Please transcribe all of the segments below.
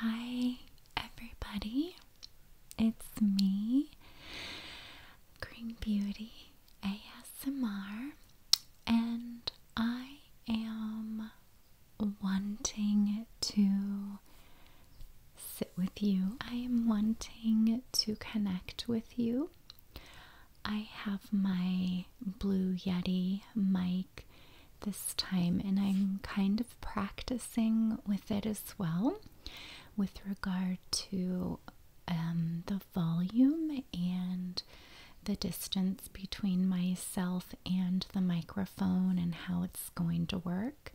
Hi, everybody. It's me, Green Beauty ASMR, and I am wanting to sit with you. I am wanting to connect with you. I have my Blue Yeti mic this time, and I'm kind of practicing with it as well with regard to um, the volume and the distance between myself and the microphone and how it's going to work.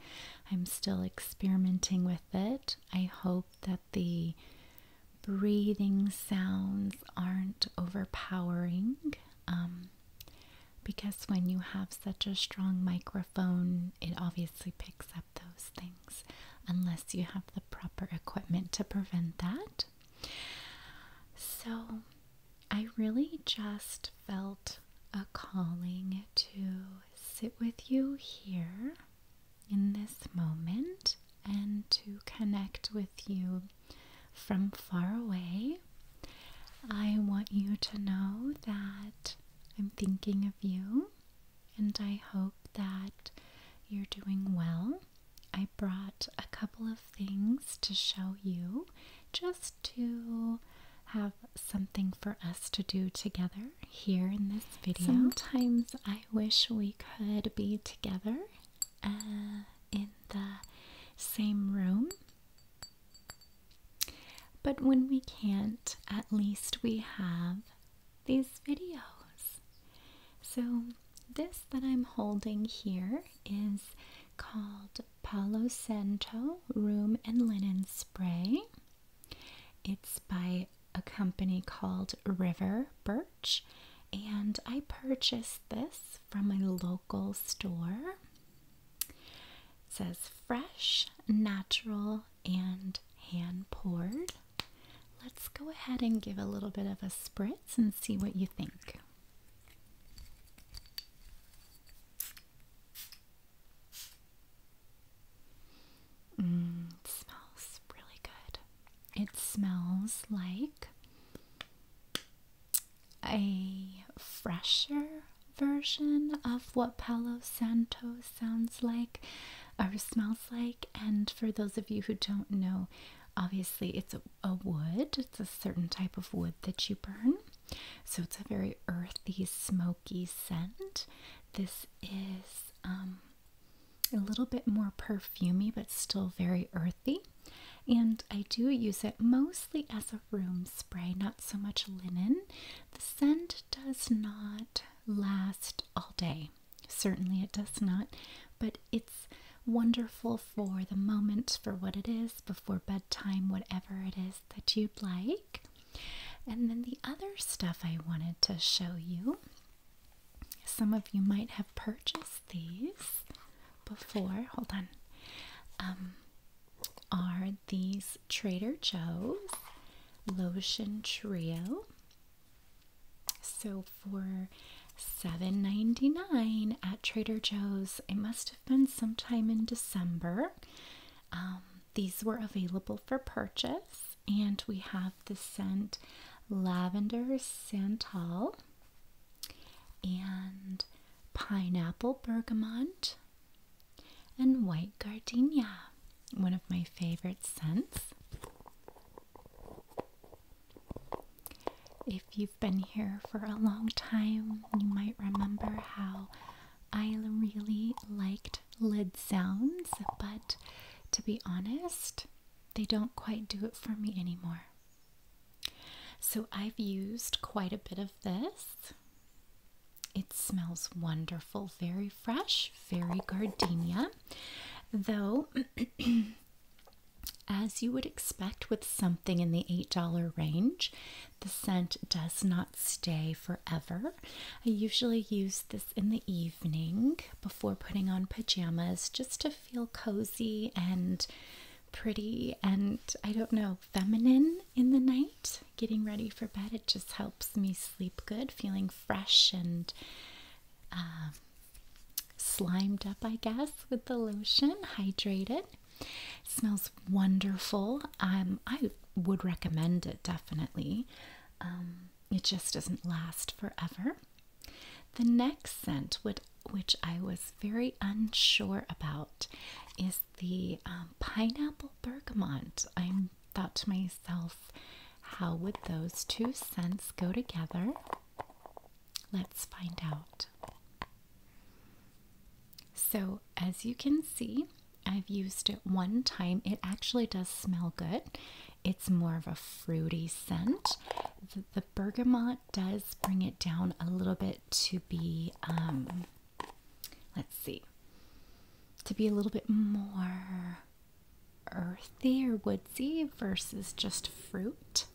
I'm still experimenting with it. I hope that the breathing sounds aren't overpowering. Um, because when you have such a strong microphone, it obviously picks up those things unless you have the proper equipment to prevent that. So, I really just felt a calling to sit with you here in this moment and to connect with you from far away. I want you to know that I'm thinking of you and I hope that you're doing well. I brought a couple of things to show you just to have something for us to do together here in this video. Sometimes I wish we could be together in the same room. But when we can't, at least we have these videos. So, this that I'm holding here is called Palo Santo Room and Linen Spray. It's by a company called River Birch and I purchased this from a local store. It says fresh, natural, and hand poured. Let's go ahead and give a little bit of a spritz and see what you think. Mm, smells really good. It smells like a fresher version of what Palo Santo sounds like or smells like. And for those of you who don't know, obviously it's a, wood, it's a certain type of wood that you burn. So it's a very earthy, smoky scent. This is um, a little bit more perfumy, but still very earthy. And I do use it mostly as a room spray, not so much linen. The scent does not last all day. Certainly it does not, but it's wonderful for the moment, for what it is, before bedtime, whatever it is that you'd like. And then the other stuff I wanted to show you some of you might have purchased these before. Hold on. Um, are these Trader Joe's Lotion Trio? So for $7.99 at Trader Joe's, it must have been sometime in December. Um, these were available for purchase and we have the scent Lavender Santal and Pineapple Bergamot and White Gardenia, one of my favorite scents. If you've been here for a long time, you might remember how I really liked lid sounds, but to be honest, they don't quite do it for me anymore. So I've used quite a bit of this. It smells wonderful, very fresh, very gardenia. Though, as you would expect with something in the $8 range, the scent does not stay forever. I usually use this in the evening before putting on pajamas just to feel cozy and pretty and I don't know, feminine in the night. Getting ready for bed, it just helps me sleep good, feeling fresh and uh, slimed up, I guess, with the lotion, hydrated. smells wonderful. Um, I would recommend it definitely. Um, it just doesn't last forever. The next scent, which, I was very unsure about, is the um, pineapple bergamot. I thought to myself, how would those two scents go together? Let's find out. So, as you can see, I've used it one time. It actually does smell good. It's more of a fruity scent. The, bergamot does bring it down a little bit to be, um, let's see, to be a little bit more earthy or woodsy versus just fruit.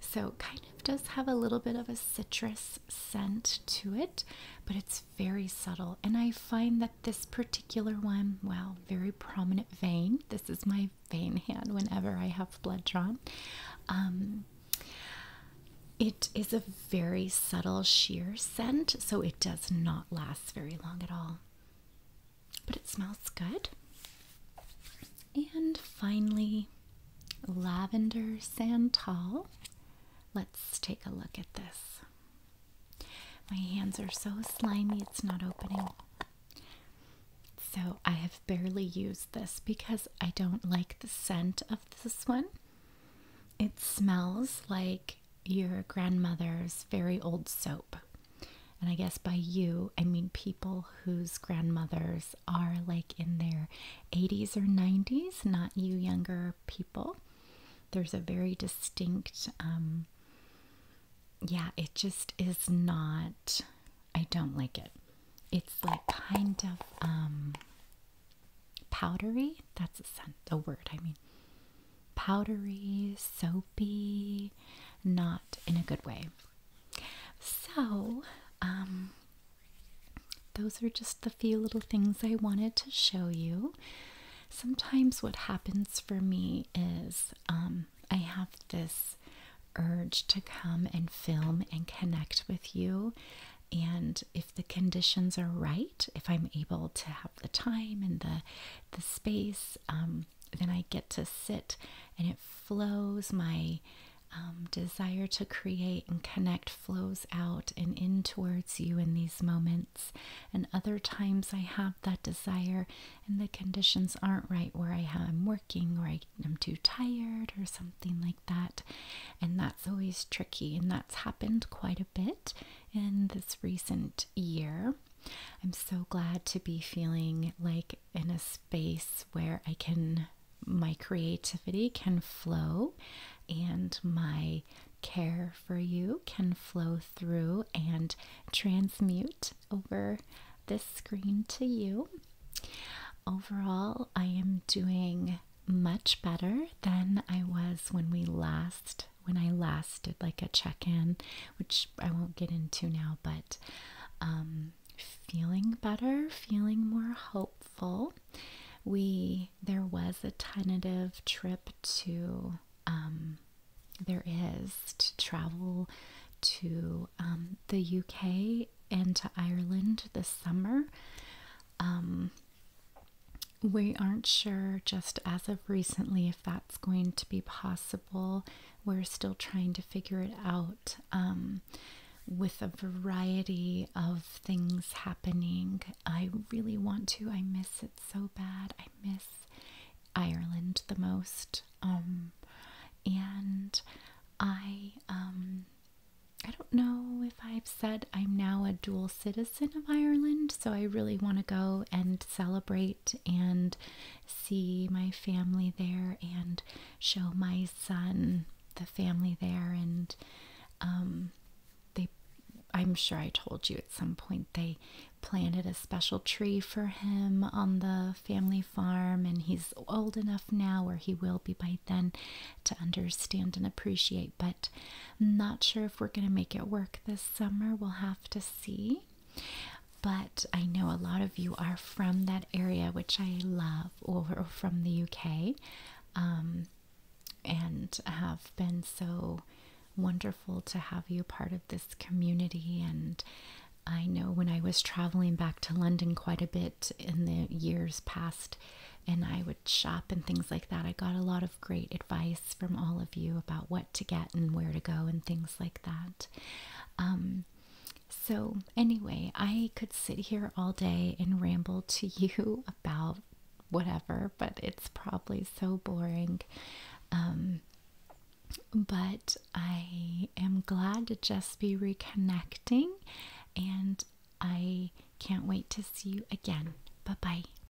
So, kind kind does have a little bit of a citrus scent to it, but it's very subtle. And I find that this particular one, wow, very prominent vein. This is my vein hand whenever I have blood drawn. Um, it is a very subtle sheer scent, so it does not last very long at all. But it smells good. And finally, Lavender Santal. Let's take a look at this. My hands are so slimy, it's not opening. So I have barely used this because I don't like the scent of this one. It smells like your grandmother's very old soap. And I guess by you, I mean people whose grandmothers are like in their 80s or 90s, not you younger people. There's a very distinct, um, yeah, it just is not, I don't like it. It's like kind of um, powdery. That's a, scent, a word, I mean. Powdery, soapy, not in a good way. So, um, those are just the few little things I wanted to show you. Sometimes what happens for me is um, I have this urge to come and film and connect with you. And if the conditions are right, if I'm able to have the time and the, the space, um, then I get to sit and it flows. My um, desire to create and connect flows out and in towards you in these moments. And other times I have that desire, and the conditions aren't right where I am working or I'm too tired or something like that. And that's always tricky, and that's happened quite a bit in this recent year. I'm so glad to be feeling like in a space where I can my creativity can flow and my care for you can flow through and transmute over this screen to you. Overall, I am doing much better than I was when we last when I last did like a check-in, which I won't get into now, but um, feeling better, feeling more hopeful. We there was a tentative trip to um, there is to travel to um, the UK and to Ireland this summer. we aren't sure just as of recently that's going to be possible. We're still trying to figure it out um, with a variety of things happening. I really want to. I miss it so bad. I miss Ireland the most. Um, and I, um, I don't know if I've said I'm now a dual citizen of Ireland, so I really want to go and celebrate and see my family there and show my son the family there and um they I'm sure I told you at some point they planted a special tree for him on the family farm and he's old enough now or he will be by then to understand and appreciate but I'm not sure if we're going to make it work this summer we'll have to see but I know a lot of you are from that area, which I love, or from the UK, um, and have been so wonderful to have you part of this community. And I know when I was traveling back to London quite a bit in the years past, and I would shop and things like that, I got a lot of great advice from all of you about what to get and where to go and things like that. Um, so, anyway, I could sit here all day and ramble to you about whatever, but it's probably so boring. Um, but I am glad to just be reconnecting, and I can't wait to see you again. Bye bye.